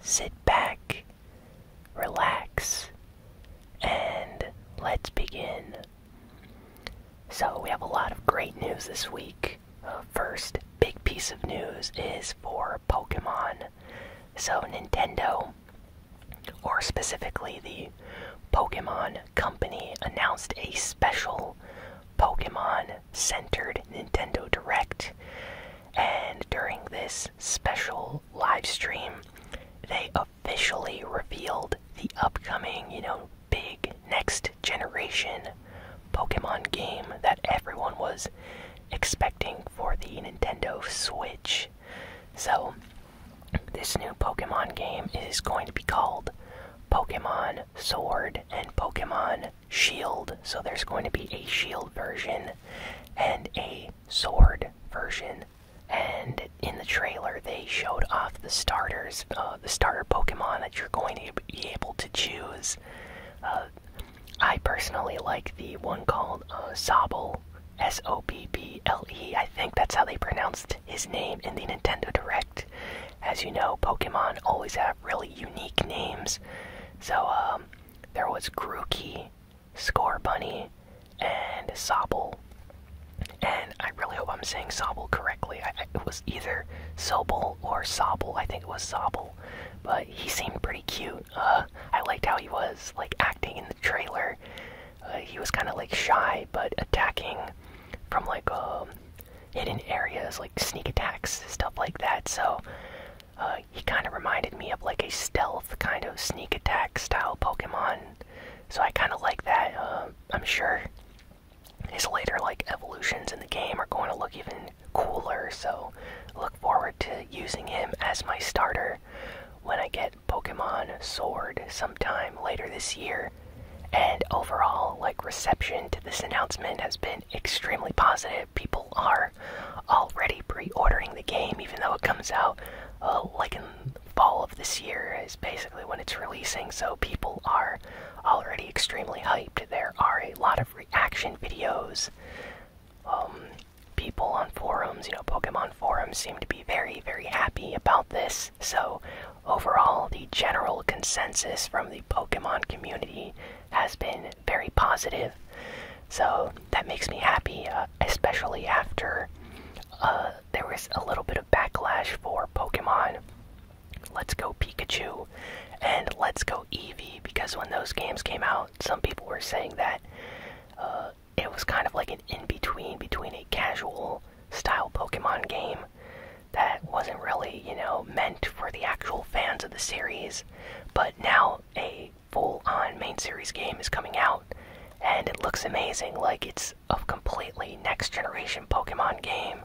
sit back, relax, and let's begin. So, we have a lot of great news this week. Uh, first big piece of news is for Pokemon. So, Nintendo, or specifically the Pokemon Company, announced a special Pokemon centered Nintendo Direct. And during this special live stream, they officially revealed the upcoming, you know, big next generation Pokemon game that everyone was expecting for the Nintendo Switch. So, this new Pokemon game is going to be called Pokemon Sword and Pokemon Shield. So, there's going to be a Shield version and a sword version, and in the trailer they showed off the starters, uh, the starter Pokemon that you're going to be able to choose. Uh, I personally like the one called uh, Sobble, S O B B L E. I think that's how they pronounced his name in the Nintendo Direct. As you know, Pokemon always have really unique names. So um, there was Grookey, Score Bunny, and Sobble. And I really hope I'm saying Sobble correctly. I, was either Sobble or Sobble. I think it was Sobble. But he seemed pretty cute. Uh, I liked how he was like acting in the trailer. Uh, he was kind of like shy, but attacking from like um, hidden areas, like sneak attacks, stuff like that. So uh, he kind of reminded me of like a stealth kind of sneak attack style Pokemon, so I kind of like that. Uh, I'm sure his later like evolutions in the game are going to look even cooler, so look forward to using him as my starter when I get Pokemon Sword sometime later this year. And overall, like reception to this announcement has been extremely positive. People are already pre-ordering the game, even though it comes out uh, like in fall of this year is basically when it's releasing. So people are already extremely hyped. There are a lot of reaction videos. Um, people on forums, you know, Pokemon forums seem to be very, very happy about this. So overall, the general consensus from the Pokemon community has been very positive. So that makes me happy, uh, especially after uh, there was a little bit of backlash for Pokemon Let's Go Pikachu and Let's Go Eevee because when those games came out, some people were saying that uh, it was kind of like an in between between a casual style Pokemon game that wasn't really, you know, meant for the actual fans of the series. But now a full on main series game is coming out, and it looks amazing. Like it's a completely next generation Pokemon game.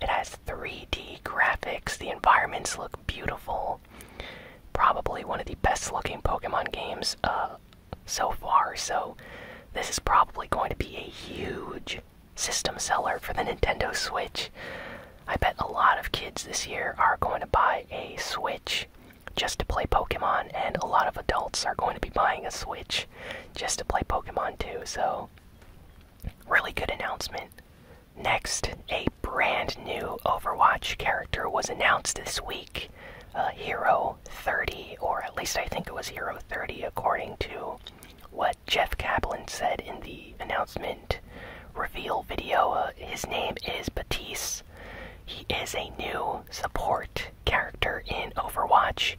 It has 3D graphics, the environments look beautiful. Probably one of the best looking Pokemon games uh, so far, so this is probably going to be a huge system seller for the Nintendo Switch. I bet a lot of kids this year are going to buy a Switch just to play Pokemon, and a lot of adults are going to be buying a Switch just to play Pokemon too, so really good announcement. Next, a brand new Overwatch character was announced this week. Uh, Hero 30, or at least I think it was Hero 30, according to what Jeff Kaplan said in the announcement reveal video. Uh, his name is Batiste. He is a new support character in Overwatch,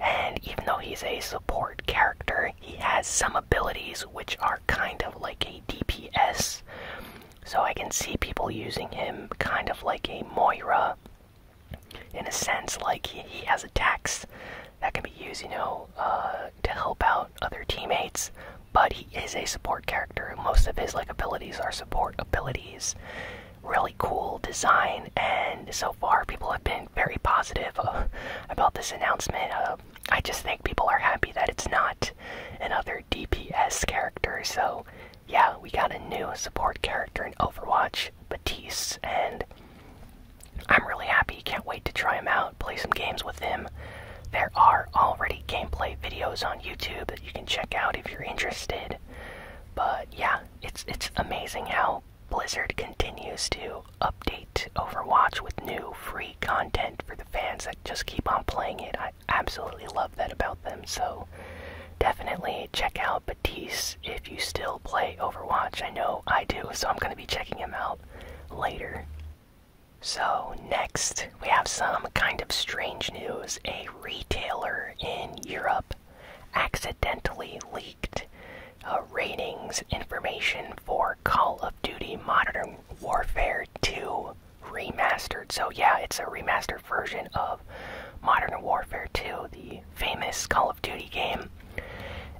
and even though he's a support character, he has some abilities which are kind of like a DPS. So I can see people using him kind of like a Moira. In a sense, like he, he has attacks that can be used, you know, uh, to help out other teammates. But he is a support character. Most of his like abilities are support abilities. Really cool design, and so far people have been very positive uh, about this announcement. Uh, I just think people are happy that it's not another DPS character. So yeah, we got a new support character in Overwatch, Batiste, and I'm really happy. Can't wait to try him out, play some games with him. There are already gameplay videos on YouTube that you can check out if you're interested. But yeah, it's it's amazing how Blizzard continues to update Overwatch with new free content for the fans that just keep on playing it. I absolutely love that about them. So definitely check out Batiste if you still play Overwatch. I know I do, so I'm going to be checking him out later. So, next, we have some kind of strange news. A retailer in Europe accidentally leaked uh, ratings information for Call of Duty Modern Warfare 2 Remastered. So, yeah, it's a remastered version of Modern Warfare 2, the famous Call of Duty game.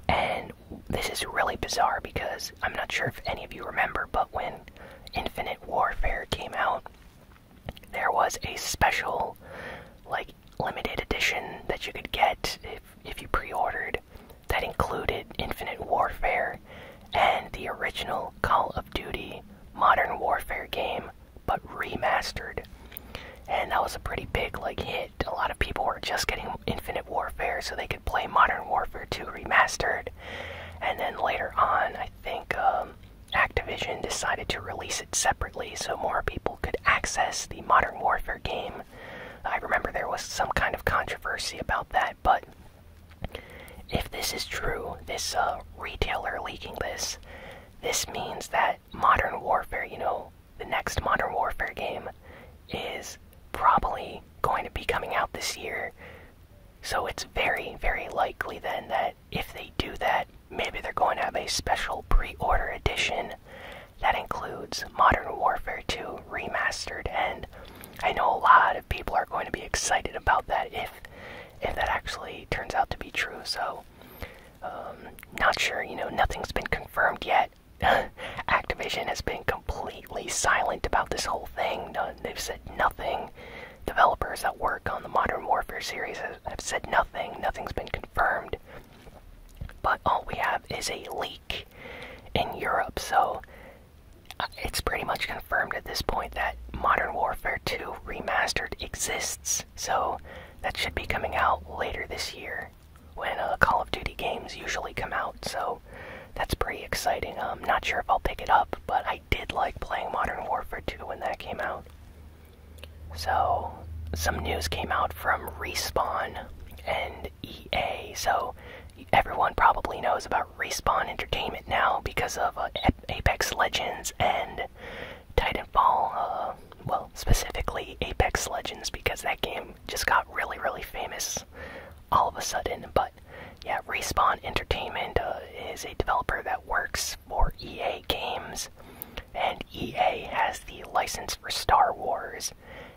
And this is really bizarre because I'm not sure if any of you remember, but when Infinite Warfare came out, there was a special, like, limited edition that you could get if, if you pre ordered that included Infinite Warfare and the original Call of Duty Modern Warfare game, but remastered. And that was a pretty big, like, hit a lot of people were just getting Infinite Warfare so they could play Modern Warfare 2 Remastered. And then later on, I think um, Activision decided to release it separately so more people could access the Modern Warfare game. I remember there was some kind of controversy about that, but if this is true, this uh, retailer leaking this, this means that Modern Warfare, you know, the next Modern Warfare game is probably going to be coming out this year. So it's very, very likely then that if they do that, maybe they're going to have a special pre order edition that includes Modern Warfare 2 Remastered. And I know a lot of people are going to be excited about that if, if that actually turns out to be true. So, um, not sure, you know, nothing's been confirmed yet. Activision has been completely silent about this whole thing. they've said nothing. Developers that work on the Modern Warfare series have said nothing. Nothing's been confirmed. But all we have is a leak in Europe, so uh, it's pretty much confirmed at this point that Modern Warfare 2 Remastered exists. So that should be coming out later this year when uh, Call of Duty games usually come out, so that's pretty exciting. I'm not sure if I'll pick it up, but I did like playing Modern Warfare 2 when that came out. So, some news came out from Respawn and EA, so everyone probably knows about Respawn Entertainment now because of uh, Apex Legends and Titanfall. Uh, well, specifically Apex Legends, because that game just got really, really famous all of a sudden. But yeah, Respawn Entertainment uh, is a developer that works for EA Games, and EA has the license for Star Wars.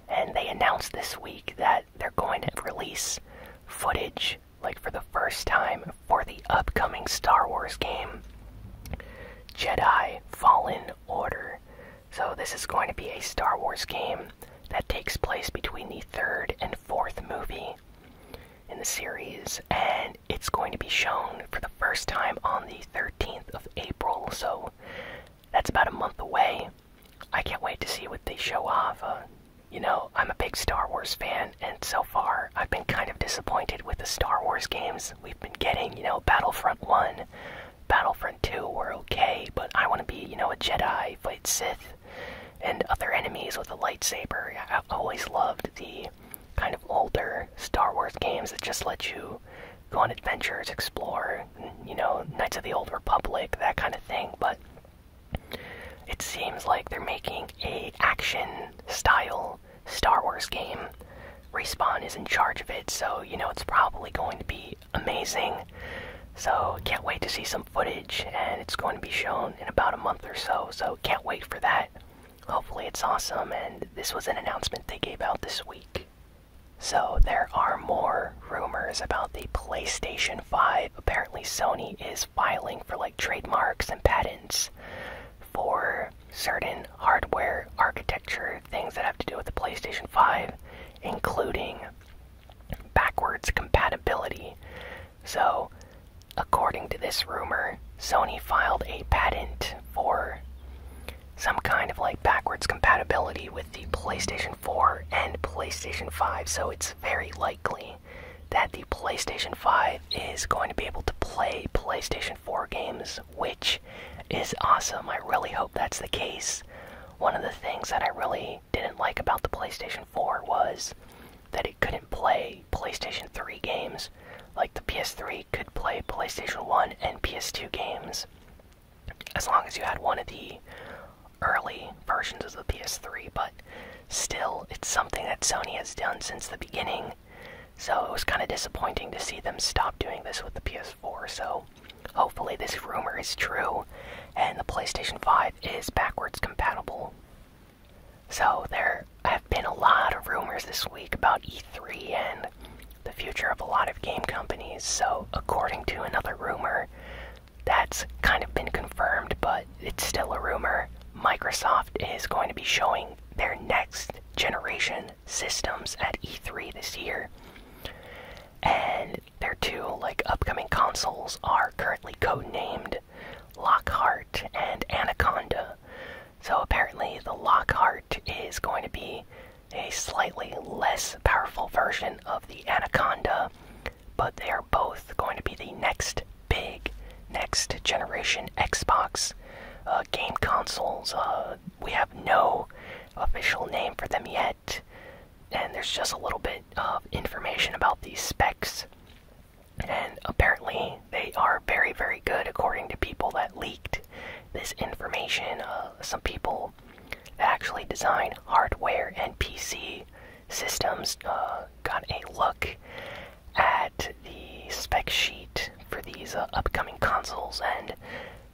And they announced this week that they're going to release footage, like for the first time, for the upcoming Star Wars game Jedi Fallen Order. So, this is going to be a Star Wars game that takes place between the third and fourth movie in the series, and it's going to be shown for the first time on the 13th of April, so that's about a month away. I can't wait to see what they show off. Uh, you know, I'm a big Star Wars fan, and so far I've been kind of disappointed with the Star Wars games we've been getting. You know, Battlefront 1, Battlefront 2 were okay, but I want to be, you know, a Jedi, fight Sith, and other enemies with a lightsaber. I have always loved the kind of older Star Wars games that just let you go on adventures, explore, you know, Knights of the Old Republic, that kind of thing, but it seems like they're making a action style Star Wars game Respawn is in charge of it, so you know it's probably going to be amazing. So, can't wait to see some footage, and it's going to be shown in about a month or so, so can't wait for that. Hopefully, it's awesome, and this was an announcement they gave out this week. So, there are more rumors about the PlayStation 5. Apparently, Sony is filing for like trademarks and patents for certain hardware architecture things that have to do with the PlayStation 5, including backwards compatibility. So, according to this rumor, Sony filed a patent for some kind of like backwards compatibility with the PlayStation 4 and PlayStation 5, so it's very likely that the PlayStation 5 is going to be able to play PlayStation 4 games, which is awesome. I really hope that's the case. One of the things that I really didn't like about the PlayStation 4 was that it couldn't play PlayStation 3 games. Like the PS3 could play PlayStation 1 and PS2 games as long as you had one of the early versions of the PS3, but still, it's something that Sony has done since the beginning so it was kind of disappointing to see them stop doing this with the PS4. So hopefully, this rumor is true and the PlayStation 5 is backwards compatible. So there have been a lot of rumors this week about E3 and the future of a lot of game companies. So, according to another rumor, that's kind of been confirmed, but it's still a rumor. Microsoft is going to be showing their next generation systems at E3 this year. And their two like upcoming consoles are currently codenamed Lockhart and Anaconda. So apparently the Lockhart is going to be a slightly less powerful version of the Anaconda, but they are both going to be the next big next generation Xbox uh, game consoles. Uh, we have no official name for them yet, and there's just a little bit of information about these specs. And apparently, they are very, very good according to people that leaked this information. Uh, some people that actually design hardware and PC systems got a look at the spec sheet for these uh, upcoming consoles, and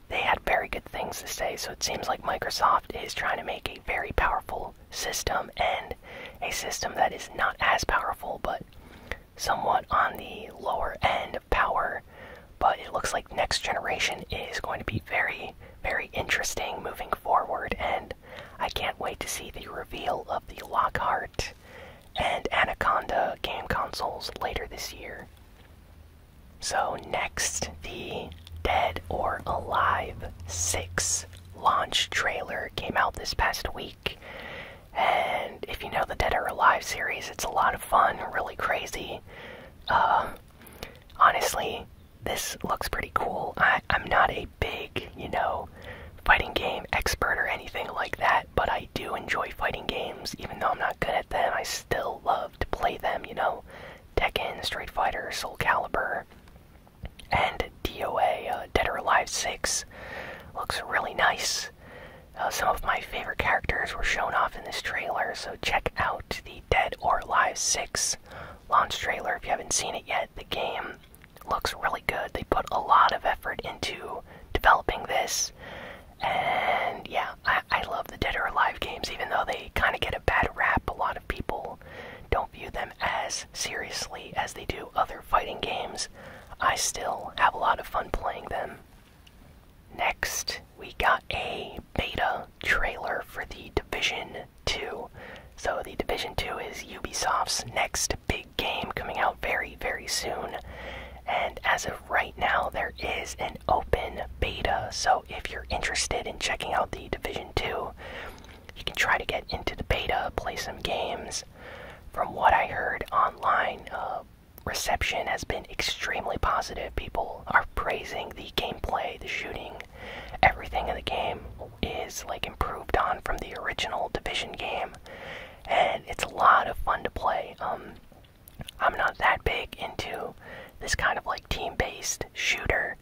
they had very good things to say. So it seems like Microsoft is trying to make a very powerful system and a system that is not as powerful, but somewhat on the lower end of power. But it looks like next generation is going to be very, very interesting moving forward, and I can't wait to see the reveal of the Lockhart and Anaconda game consoles later this year. So, next, the Dead or Alive 6 launch trailer came out this past week. And if you know the Dead or Alive series, it's a lot of fun, really crazy. Uh, honestly, this looks pretty cool. I, I'm not a big, you know, fighting game expert or anything like that, but I do enjoy fighting games. Even though I'm not good at them, I still love to play them, you know? Tekken, Street Fighter, Soul Calibur, and DOA, uh, Dead or Alive 6. Looks really nice. Uh, some of my favorite characters were shown off in this trailer, so check out the Dead or Alive 6 launch trailer if you haven't seen it yet. The game looks really good. They put a lot of effort into developing this, and yeah, I, love the Dead or Alive games, even though they kind of get a bad rap. A lot of people don't view them as seriously as they do other fighting games. I still have a lot of fun playing them. Next, we got a beta trailer for The Division 2. So, The Division 2 is Ubisoft's next big game coming out very, very soon. And as of right now, there is an open beta. So if you're interested in checking out the Division 2, you can try to get into the beta, play some games. From what I heard online, uh, reception has been extremely positive. People are praising the gameplay, the shooting, everything in the game is like improved on from the original Division game and it's a lot of fun to play. Um, I'm not that big into this kind of like team-based shooter,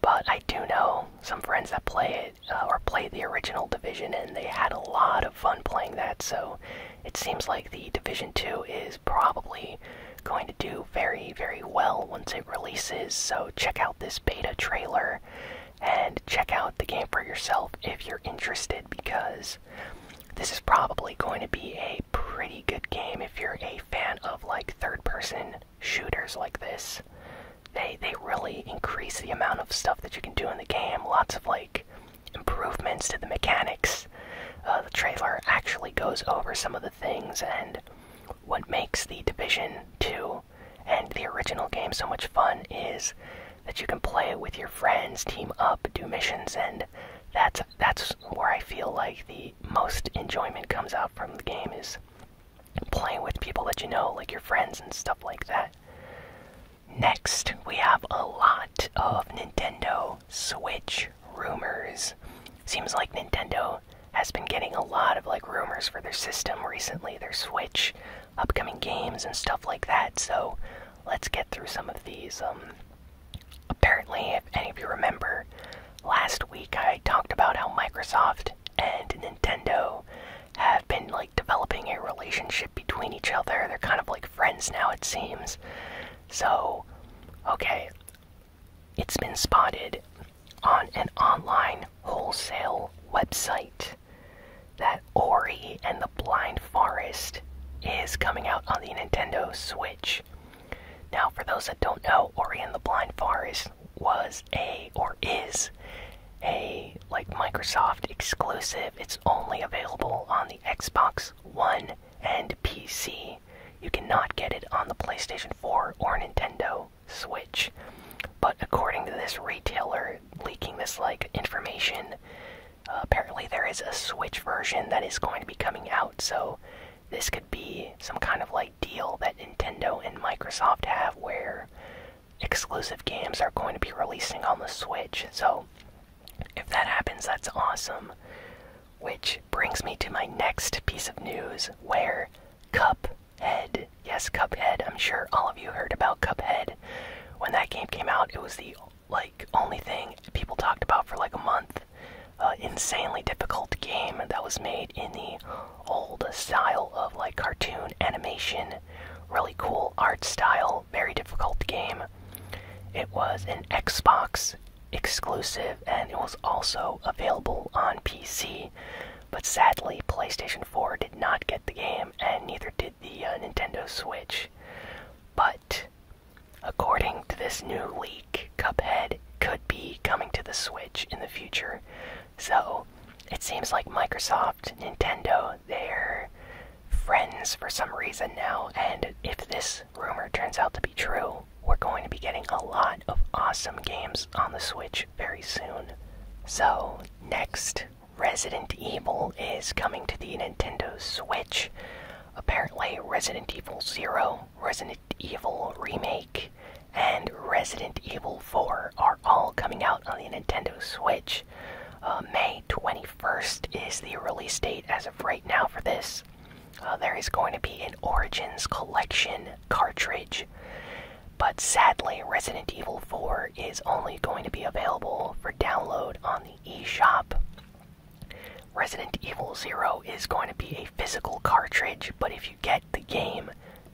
but I do know some friends that play it uh, or play the original Division, and they had a lot of fun playing that. So it seems like the Division Two is probably going to do very very well once it releases. So check out this beta trailer and check out the game for yourself if you're interested because this is probably going to be a pretty good game if you're a fan of like third person shooters like this. They they really increase the amount of stuff that you can do in the game. Lots of like improvements to the mechanics. Uh, the trailer actually goes over some of the things and what makes the Division 2 and the original game, so much fun, is that you can play it with your friends, team up, do missions, and that's that's where I feel like the most enjoyment comes out from the game is playing with people that you know, like your friends and stuff like that. Next, we have a lot of Nintendo Switch rumors. Seems like Nintendo has been getting a lot of like rumors for their system recently, their Switch upcoming games and stuff like that. So let's get through some of these. Um, apparently, if any of you remember, last week I talked about how Microsoft and Nintendo have been like developing a relationship between each other. They're kind of like friends now, it seems. So, okay, it's been spotted on an online wholesale website that Ori and the Blind Forest is coming out on the Nintendo Switch. Now, for those that don't know, Ori and the Blind Forest was a, or is, a, like, Microsoft exclusive. It's only available on the Xbox One and PC. You cannot get it on the PlayStation 4 or Nintendo Switch. But according to this retailer leaking this like information, apparently there is a Switch version that is going to be coming out. So this could be some kind of like deal that Nintendo and Microsoft have where exclusive games are going to be releasing on the Switch. So if that happens, that's awesome. Which brings me to my next piece of news where Cup Cuphead. Yes, Cuphead. I'm sure all of you heard about Cuphead. When that game came out, it was the like only thing people talked about for like a month. Uh, insanely difficult game that was made in the old style of like cartoon animation. Really cool art style. Very difficult game. It was an Xbox exclusive and it was also available on PC. But sadly, PlayStation 4 did not get the game, and neither did the uh, Nintendo Switch. But according to this new leak, Cuphead could be coming to the Switch in the future. So it seems like Microsoft, Nintendo, they're friends for some reason now, and if this rumor turns out to be true, we're going to be getting a lot of awesome games on the Switch very soon. So, next, Resident Evil is coming to the Nintendo Switch. Apparently, Resident Evil 0, Resident Evil Remake, and Resident Evil 4 are all coming out on the Nintendo Switch. Uh, May 21st is the release date as of right now for this. Uh, there is going to be an Origins Collection cartridge. But sadly, Resident Evil 4 is only going to be available for download on the eShop. Resident Evil 0 is going to be a physical cartridge, but if you get the game,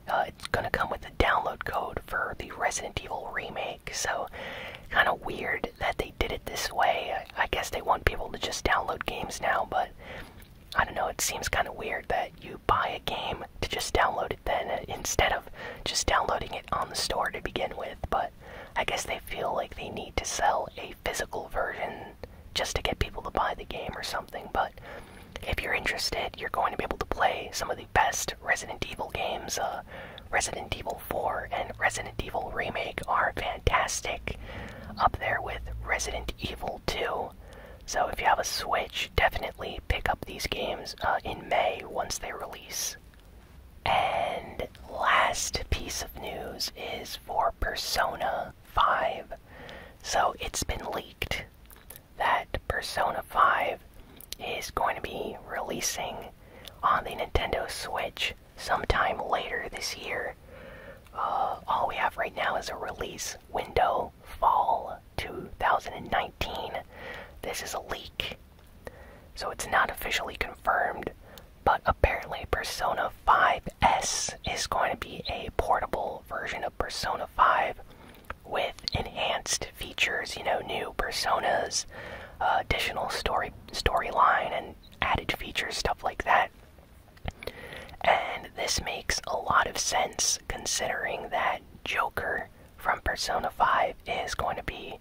uh, it's going to come with a download code for the Resident Evil remake. So, kind of weird that they did it this way. I guess they want people to just download games now, but I don't know, it seems kind of weird that you buy a game to just download it then uh, instead of just downloading it on the store to begin with, but I guess they feel like they need to sell a physical version just to get people to buy the game or something. But if you're interested, you're going to be able to play some of the best Resident Evil games. Uh, Resident Evil 4 and Resident Evil Remake are fantastic, up there with Resident Evil 2. So if you have a Switch, definitely pick up these games uh, in May once they release. And last piece of news is for Persona 5. So it's been leaked that Persona 5 is going to be releasing on the Nintendo Switch sometime later this year. Uh, all we have right now is a release window fall 2019. This is a leak, so it's not officially confirmed, but apparently, Persona 5S is going to be a portable version of Persona 5 with enhanced features, you know, new personas, uh, additional story storyline, and added features, stuff like that. And this makes a lot of sense considering that Joker from Persona 5 is going to be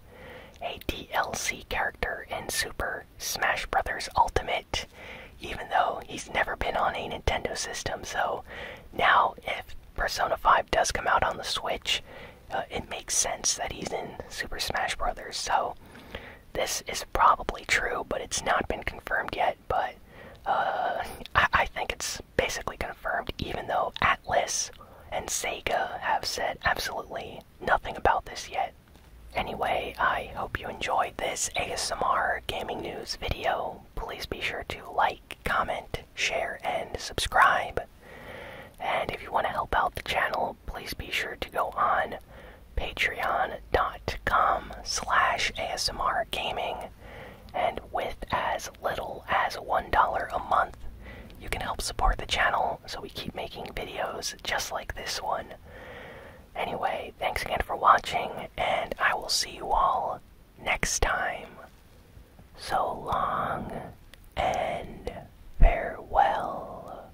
a DLC character in Super Smash Bros. Ultimate, even though he's never been on a Nintendo system. So now, if Persona 5 does come out on the Switch, uh, it makes sense that he's in Super Smash Bros. So this is probably true, but it's not been confirmed yet but uh, I think it's basically confirmed, even though Atlas and Sega have said absolutely nothing about this yet. Anyway, I hope you enjoyed this ASMR gaming news video. Please be sure to like, comment, share, and subscribe. And if you want to help out the channel, please be sure to go on patreon.com slash ASMR gaming. And with as little as $1 a month, you can help support the channel so we keep making videos just like this one. Anyway, thanks again for watching, and I will see you all next time. So long and farewell.